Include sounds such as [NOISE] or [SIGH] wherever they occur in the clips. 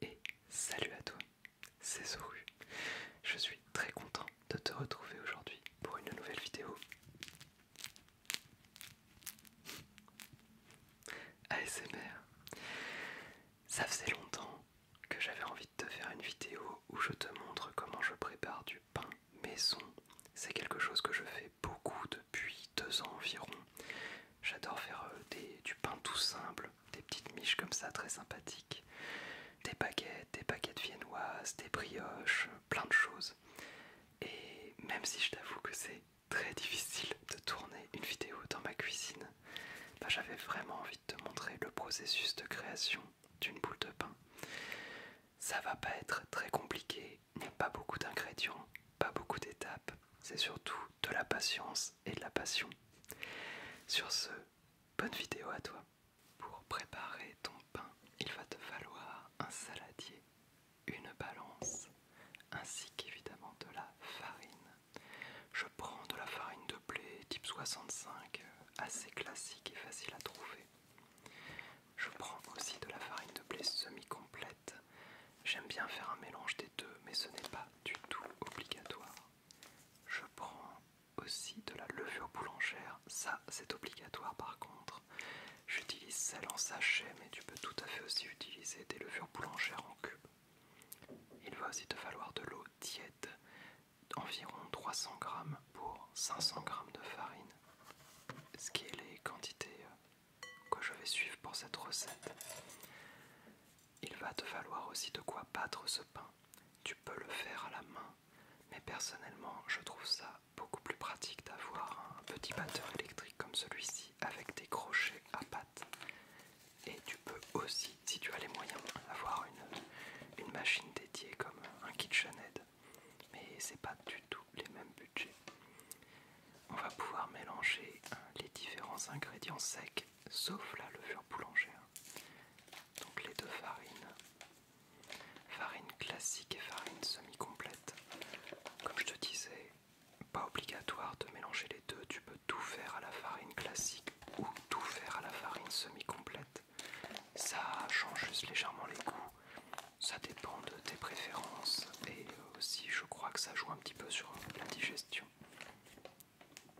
Et salut à toi, c'est Zoru. Je suis très content de te retrouver aujourd'hui pour une nouvelle vidéo. ASMR. Ça faisait longtemps que j'avais envie de te faire une vidéo où je te montre comment je prépare du pain maison. C'est quelque chose que je fais beaucoup depuis deux ans environ. J'adore faire euh, du pain tout simple, des petites miches comme ça très sympathiques, des baguettes, des baguettes viennoises, des brioches, plein de choses. Et même si je t'avoue que c'est très difficile de tourner une vidéo dans ma cuisine, bah, j'avais vraiment envie de te montrer le processus de création d'une boule de pain. Ça va pas être très compliqué, il pas beaucoup d'ingrédients, pas beaucoup d'étapes, c'est surtout de la patience et de la passion. Sur ce, bonne vidéo à toi. Pour préparer ton pain, il va te falloir un saladier, une balance, ainsi qu'évidemment de la farine. Je prends de la farine de blé type 65, assez classique et facile à trouver. Je prends aussi de la farine de blé semi-complète J'aime bien faire un mélange des deux, mais ce n'est pas du tout obligatoire. Je prends aussi de la levure boulangère, ça c'est obligatoire par contre. J'utilise celle en sachet, mais tu peux tout à fait aussi utiliser des levures boulangères en cube. Il va aussi te falloir de l'eau tiède, environ 300 g pour 500 g de farine, ce qui est les quantités euh, que je vais suivre pour cette recette. Il va te falloir aussi de quoi battre ce pain. Tu peux le faire à la main, mais personnellement, je trouve ça beaucoup plus pratique d'avoir un petit batteur électrique comme celui-ci avec des crochets à pâte. Et tu peux aussi, si tu as les moyens, avoir une, machine dédiée comme un KitchenAid. Mais c'est pas du tout les mêmes budgets on va pouvoir mélanger hein, les différents ingrédients secs, sauf la levure boulangère. Donc les deux farines, farine classique et farine semi-complète. Comme je te disais, pas obligatoire de mélanger les deux, tu peux tout faire à la farine classique ou tout faire à la farine semi-complète. Ça change juste légèrement les goûts, ça dépend de tes préférences et euh, aussi, je crois que ça joue un petit peu sur la digestion.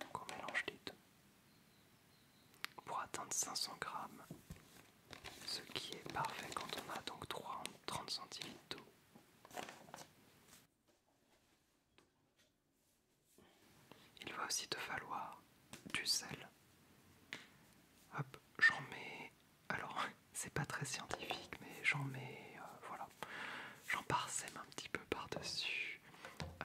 Donc on mélange les deux pour atteindre 500 grammes, ce qui est parfait quand on a donc 3, 30 centilitres d'eau. Il va aussi te falloir du sel. Hop, j'en mets alors, [LAUGHS] c'est pas très scientifique, mais j'en mets, euh, voilà, j'en parsème un petit peu par-dessus. Euh,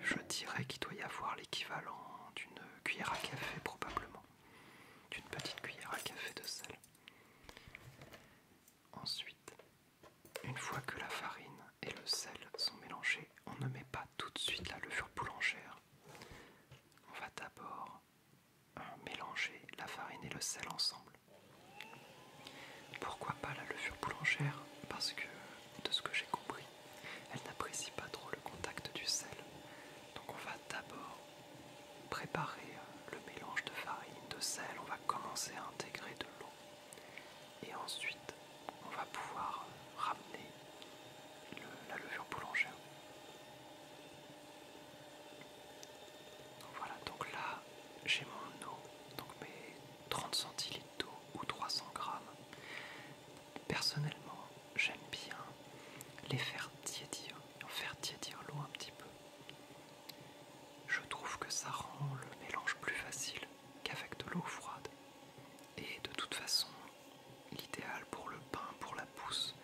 je dirais qu'il doit y avoir l'équivalent d'une cuillère à café, probablement, d'une petite cuillère à café de sel. Ensuite, une fois que la farine et le sel sont mélangés, on ne met pas tout de suite la levure boulangère. On va d'abord mélanger la farine et le sel ensemble. Pourquoi pas la levure boulangère Parce que, de ce que j'ai compris, elle n'apprécie pas trop le contact du sel. Donc on va d'abord préparer euh, le mélange de farine, de sel, on va commencer à intégrer de l'eau. Et ensuite, on va pouvoir euh, ramener la levure boulangère. Donc voilà, donc là j'ai mon eau, donc mes 30 centilitres d'eau ou 300 grammes. Personnellement, j'aime bien les faire tiédir, faire tiédir l'eau un petit peu. Je trouve que ça rend le mélange plus facile qu'avec de l'eau froide. Et de toute façon, l'idéal pour le pain, pour la pousse,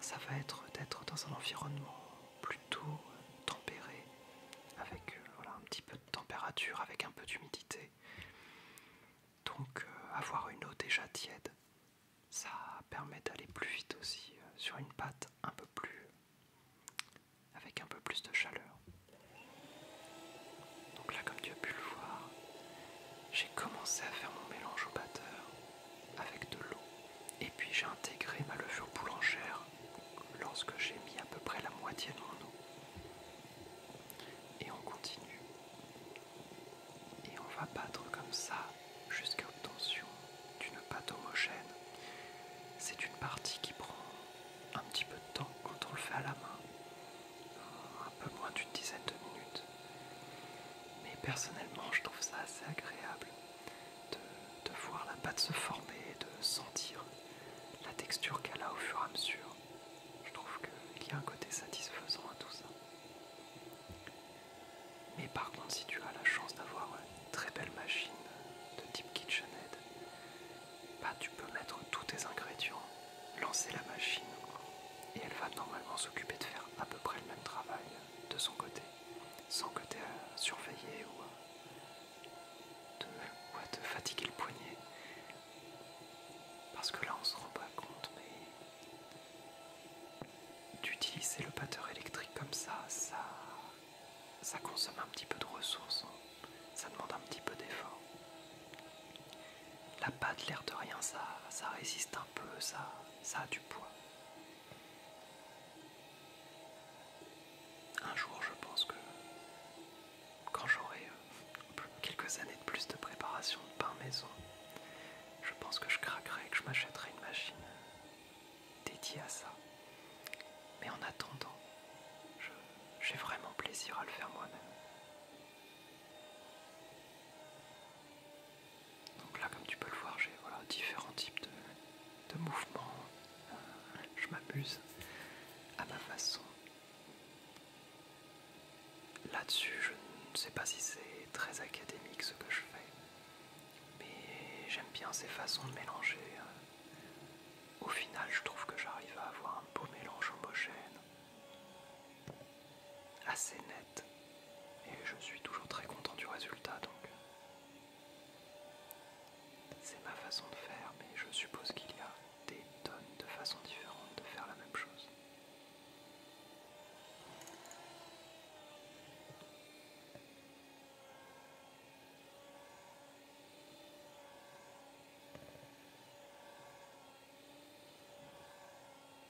ça va être d'être dans un environnement plutôt tempéré, avec euh, un petit peu de température, avec un peu d'humidité. Donc euh, avoir une eau déjà tiède, ça permet d'aller plus vite aussi euh, sur une pâte un peu plus avec un peu plus de chaleur. Donc là comme tu as pu le voir, j'ai commencé à faire mon mélange au batteur avec de l'eau. Et puis j'ai intégré ma levure boulangère lorsque j'ai mis à peu près la moitié de mon eau. Et on continue. Et on va battre comme ça jusqu'à obtention d'une pâte homogène. C'est une partie qui prend un petit peu de temps quand on le fait à la main. Un peu moins d'une dizaine de minutes. Mais personnellement, je trouve ça assez agréable de, voir la pâte se former, et de sentir la texture qu'elle a au fur et à mesure. Je trouve qu'il y a un côté satisfaisant à tout ça. Mais par contre, si tu as la chance d'avoir une très belle machine de type KitchenAid, bah, tu peux mettre tous tes ingrédients, lancer la machine et elle va normalement s'occuper de faire à peu près le même travail de son côté sans que tu aies à ou à te, fatiguer le poignet. Parce que là, on se rend pas compte, mais d'utiliser le batteur électrique comme ça, ça, consomme un petit peu de ressources, hein. ça demande un petit peu d'effort. La pâte, l'air de rien, ça, ça résiste un peu, ça a du poids. Un jour, je pense que quand j'aurai euh, quelques années de plus de préparation de pain maison, je pense que je craquerai et que je m'achèterai une machine euh, dédiée à ça. Mais en attendant, j'ai vraiment plaisir à le faire moi-même. Donc là, comme tu peux le voir, j'ai différents types de, mouvements. Euh, je m'abuse à ma façon. Là-dessus, je ne sais pas si c'est très académique ce que je fais, mais j'aime bien ces façons de mélanger. Euh. Au final, je trouve que j'arrive à avoir un beau mélange homogène assez net et je suis toujours très content du résultat donc euh, c'est ma façon de faire mais je suppose qu'il y a des tonnes de façons différentes de faire la même chose.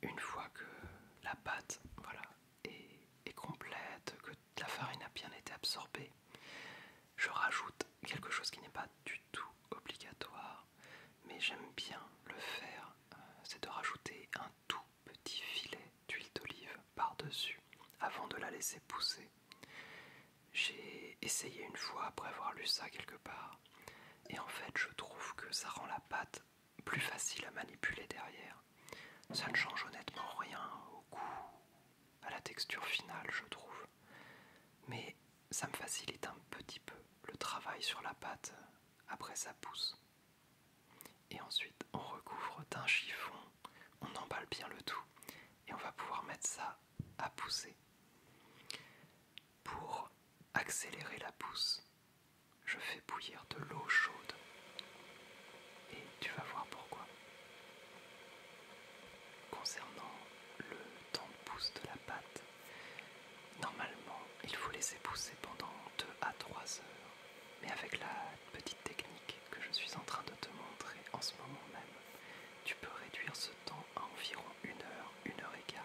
Une fois que la pâte, voilà, et complète, que la farine a bien été absorbée. Je rajoute quelque chose qui n'est pas du tout obligatoire, mais j'aime bien le faire, euh, c'est de rajouter un tout petit filet d'huile d'olive par-dessus avant de la laisser pousser. J'ai essayé une fois après avoir lu ça quelque part, et en fait je trouve que ça rend la pâte plus facile à manipuler derrière. Ça ne change honnêtement rien au goût, à la texture finale, je trouve. Mais ça me facilite un petit peu le travail sur la pâte après sa pousse. Et ensuite, on recouvre d'un chiffon, on emballe bien le tout et on va pouvoir mettre ça à pousser. Pour accélérer la pousse, je fais bouillir de l'eau chaude et tu vas voir pourquoi. Concernant le temps de pousse de la pâte, normalement il faut laisser pousser pendant 2 à 3 heures, mais avec la petite technique que je suis en train de te montrer en ce moment même, tu peux réduire ce temps à environ 1 heure, 1 heure et quart.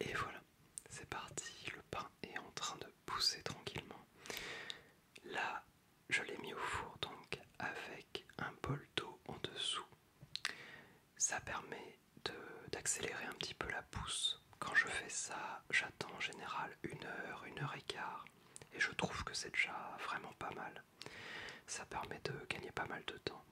Et voilà, c'est parti, le pain est en train de pousser tranquillement. Là, je l'ai mis au four donc avec un bol d'eau en dessous. Ça permet d'accélérer un petit peu la pousse quand je fais ça, j'attends en général une heure, une heure et quart. Et je trouve que c'est déjà vraiment pas mal. Ça permet de gagner pas mal de temps.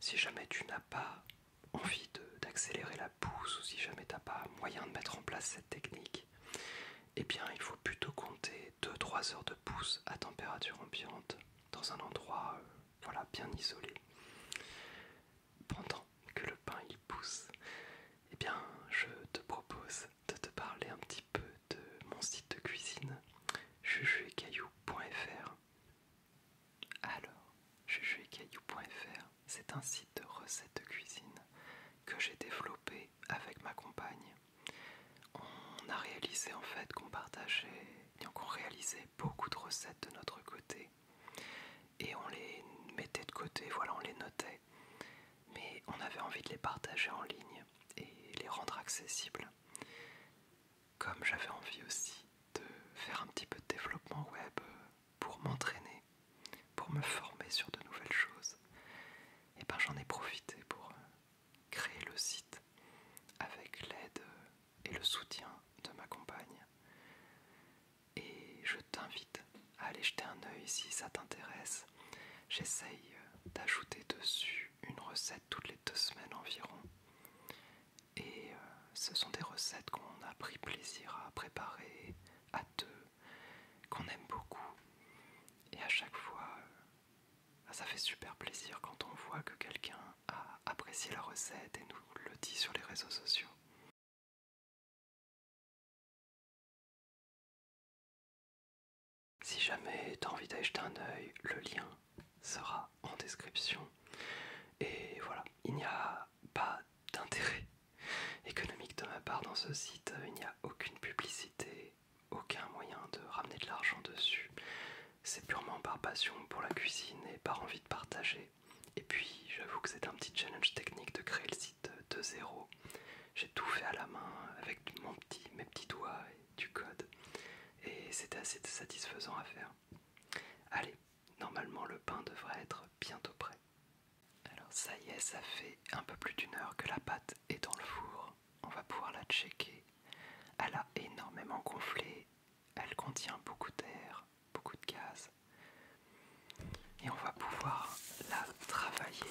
Si jamais tu n'as pas envie d'accélérer la pousse ou si jamais tu n'as pas moyen de mettre en place cette technique, eh bien il faut plutôt compter 2-3 heures de pousse à température ambiante dans un endroit euh, voilà, bien isolé pendant que le pain il pousse, eh bien, je te propose de te parler un petit peu de mon site de cuisine, jujuetcaillou.fr. Alors, jujuetcaillou.fr, c'est un site de recettes de cuisine que j'ai développé avec ma compagne. On a réalisé en fait qu'on partageait, qu'on réalisait beaucoup de recettes de notre côté et on les mettait de côté, voilà, on les notait. Mais on avait envie de les partager en ligne et les rendre accessibles. Comme j'avais envie aussi de faire un petit peu de développement web pour m'entraîner, pour me former sur de nouvelles choses, et eh ben j'en ai profité pour euh, créer le site avec l'aide et le soutien de ma compagne et je t'invite à aller jeter un œil si ça t'intéresse. J'essaye euh, d'ajouter dessus une recette toutes les deux semaines environ. Et euh, ce sont des recettes qu'on a pris plaisir à préparer à deux, qu'on aime beaucoup. Et à chaque fois, euh, ça fait super plaisir quand on voit que quelqu'un a apprécié la recette et nous le dit sur les réseaux sociaux. Si jamais t'as envie d'acheter un œil, le lien sera en description. Et voilà, il n'y a pas d'intérêt économique de ma part dans ce site, il n'y a aucune publicité, aucun moyen de ramener de l'argent dessus. C'est purement par passion pour la cuisine et par envie de partager et puis j'avoue que c'est un petit challenge technique de créer le site de zéro. J'ai tout fait à la main avec mes petits doigts et du code. Et c'était assez satisfaisant à faire. Allez, normalement le pain devrait être bientôt prêt. Alors ça y est, ça fait un peu plus d'une heure que la pâte est dans le four. On va pouvoir la checker. Elle a énormément gonflé elle contient beaucoup d'air, beaucoup de gaz. Et on va pouvoir la travailler.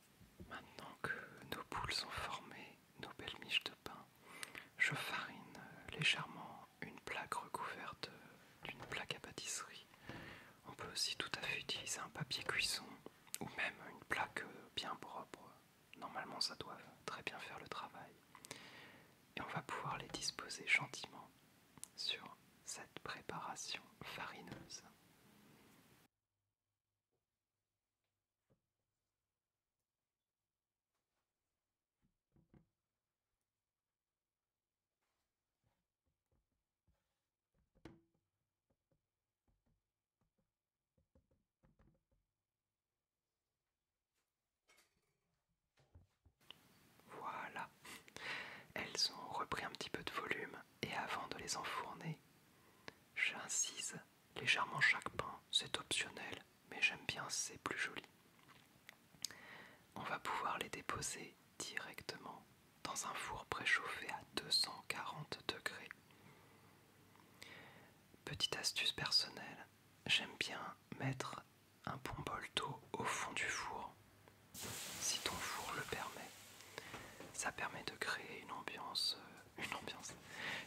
Maintenant que nos boules sont formées, nos belles miches de pain, je farine légèrement une plaque recouverte d'une plaque à pâtisserie. On peut aussi tout à fait utiliser un papier cuisson ou même une plaque bien propre. Normalement ça doit très bien faire le travail. Et on va pouvoir les disposer gentiment sur cette préparation farineuse. Voilà, elles ont repris un petit peu de volume et avant de les enfourner, j'incise légèrement chaque pain, c'est optionnel, mais j'aime bien, c'est plus joli. On va pouvoir les déposer directement dans un four préchauffé à 240 degrés. Petite astuce personnelle, j'aime bien mettre un bon d'eau au fond du four si ton four le permet. Ça permet de créer une ambiance, euh, une ambiance,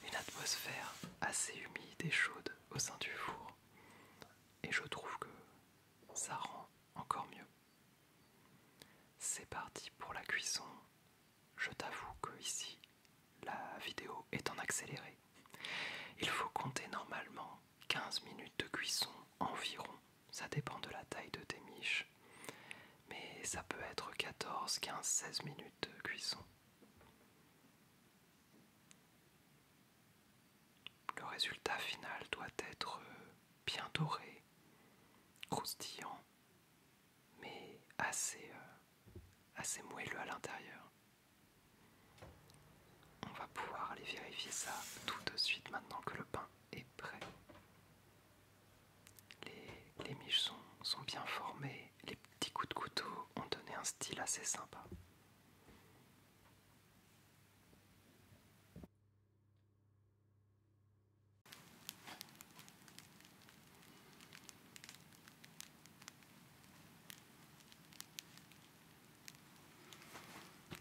une atmosphère assez humide et chaude au sein du four. Et je trouve que ça rend encore mieux. C'est parti pour la cuisson. Je t'avoue que ici, la vidéo est en accéléré. Il faut compter normalement 15 minutes de cuisson environ ça dépend de la taille de tes miches, mais ça peut être 14, 15, 16 minutes de cuisson. Le résultat final doit être euh, bien doré, croustillant, mais assez, euh, assez moelleux à l'intérieur. On va pouvoir aller vérifier ça tout de suite maintenant que le pain et prêt. Les, les miches sont bien formés, les petits coups de couteau ont donné un style assez sympa.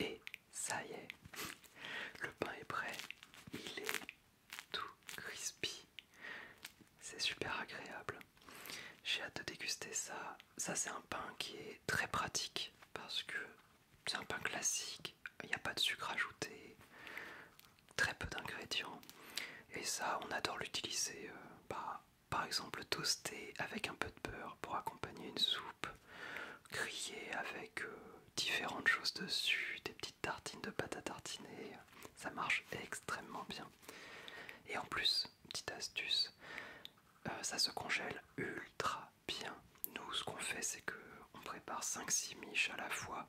Et ça y est, le pain est prêt, il est tout crispy. C'est super agréable. J'ai hâte de déguster ça. Ça c'est un pain qui est très pratique parce que c'est un pain classique, il n'y a pas de sucre ajouté, très peu d'ingrédients. Et ça, on adore l'utiliser, euh, bah, par exemple toasté avec un peu de beurre pour accompagner une soupe, grillé avec euh, différentes choses dessus, des petites tartines de pâte à tartiner, ça marche extrêmement bien. Et en plus, petite astuce, euh, ça se congèle ultra bien. Nous, ce qu'on fait, c'est qu'on prépare 5-6 miches à la fois.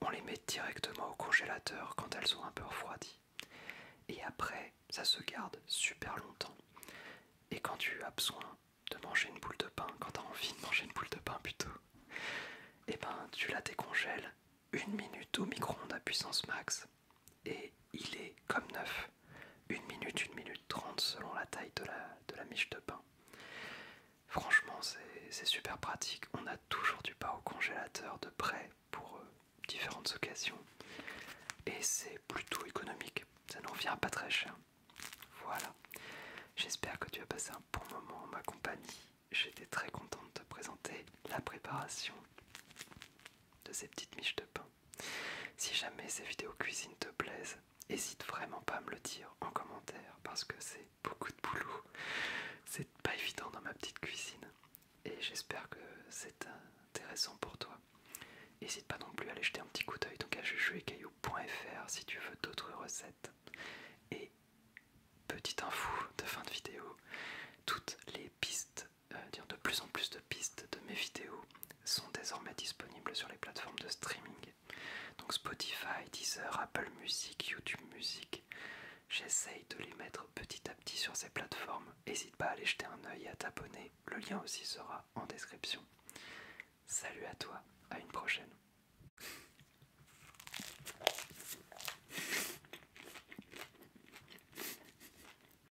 On les met directement au congélateur quand elles sont un peu refroidies. Et après, ça se garde super longtemps. Et quand tu as besoin de manger une boule de pain, quand tu as envie de manger une boule de pain plutôt, et eh ben tu la décongèles une minute au micro-ondes à puissance max et il est comme neuf. une minute, une minute 30 selon la taille de la, miche de pain. Franchement, c'est super pratique. On a toujours du pain au congélateur de près pour euh, différentes occasions. Et c'est plutôt économique. Ça n'en vient pas très cher. Voilà. J'espère que tu as passé un bon moment en ma compagnie. J'étais très contente de te présenter la préparation de ces petites miches de pain. Si jamais ces vidéos cuisine te plaisent, hésite vraiment pas à me le dire en commentaire parce que c'est beaucoup de boulot. C'est pas évident dans ma petite cuisine et j'espère que c'est intéressant pour toi. N'hésite pas non plus à aller jeter un petit coup d'œil donc à jujuetcaillou.fr si tu veux d'autres recettes. Et petite info de fin de vidéo, toutes les pistes euh, de plus en plus de pistes de mes vidéos sont désormais disponibles sur les plateformes de streaming. Donc Spotify, Deezer, Apple Music, YouTube Music. J'essaye de les mettre petit à petit sur ces plateformes. N'hésite pas à aller jeter un oeil et à t'abonner. Le lien aussi sera en description. Salut à toi, à une prochaine.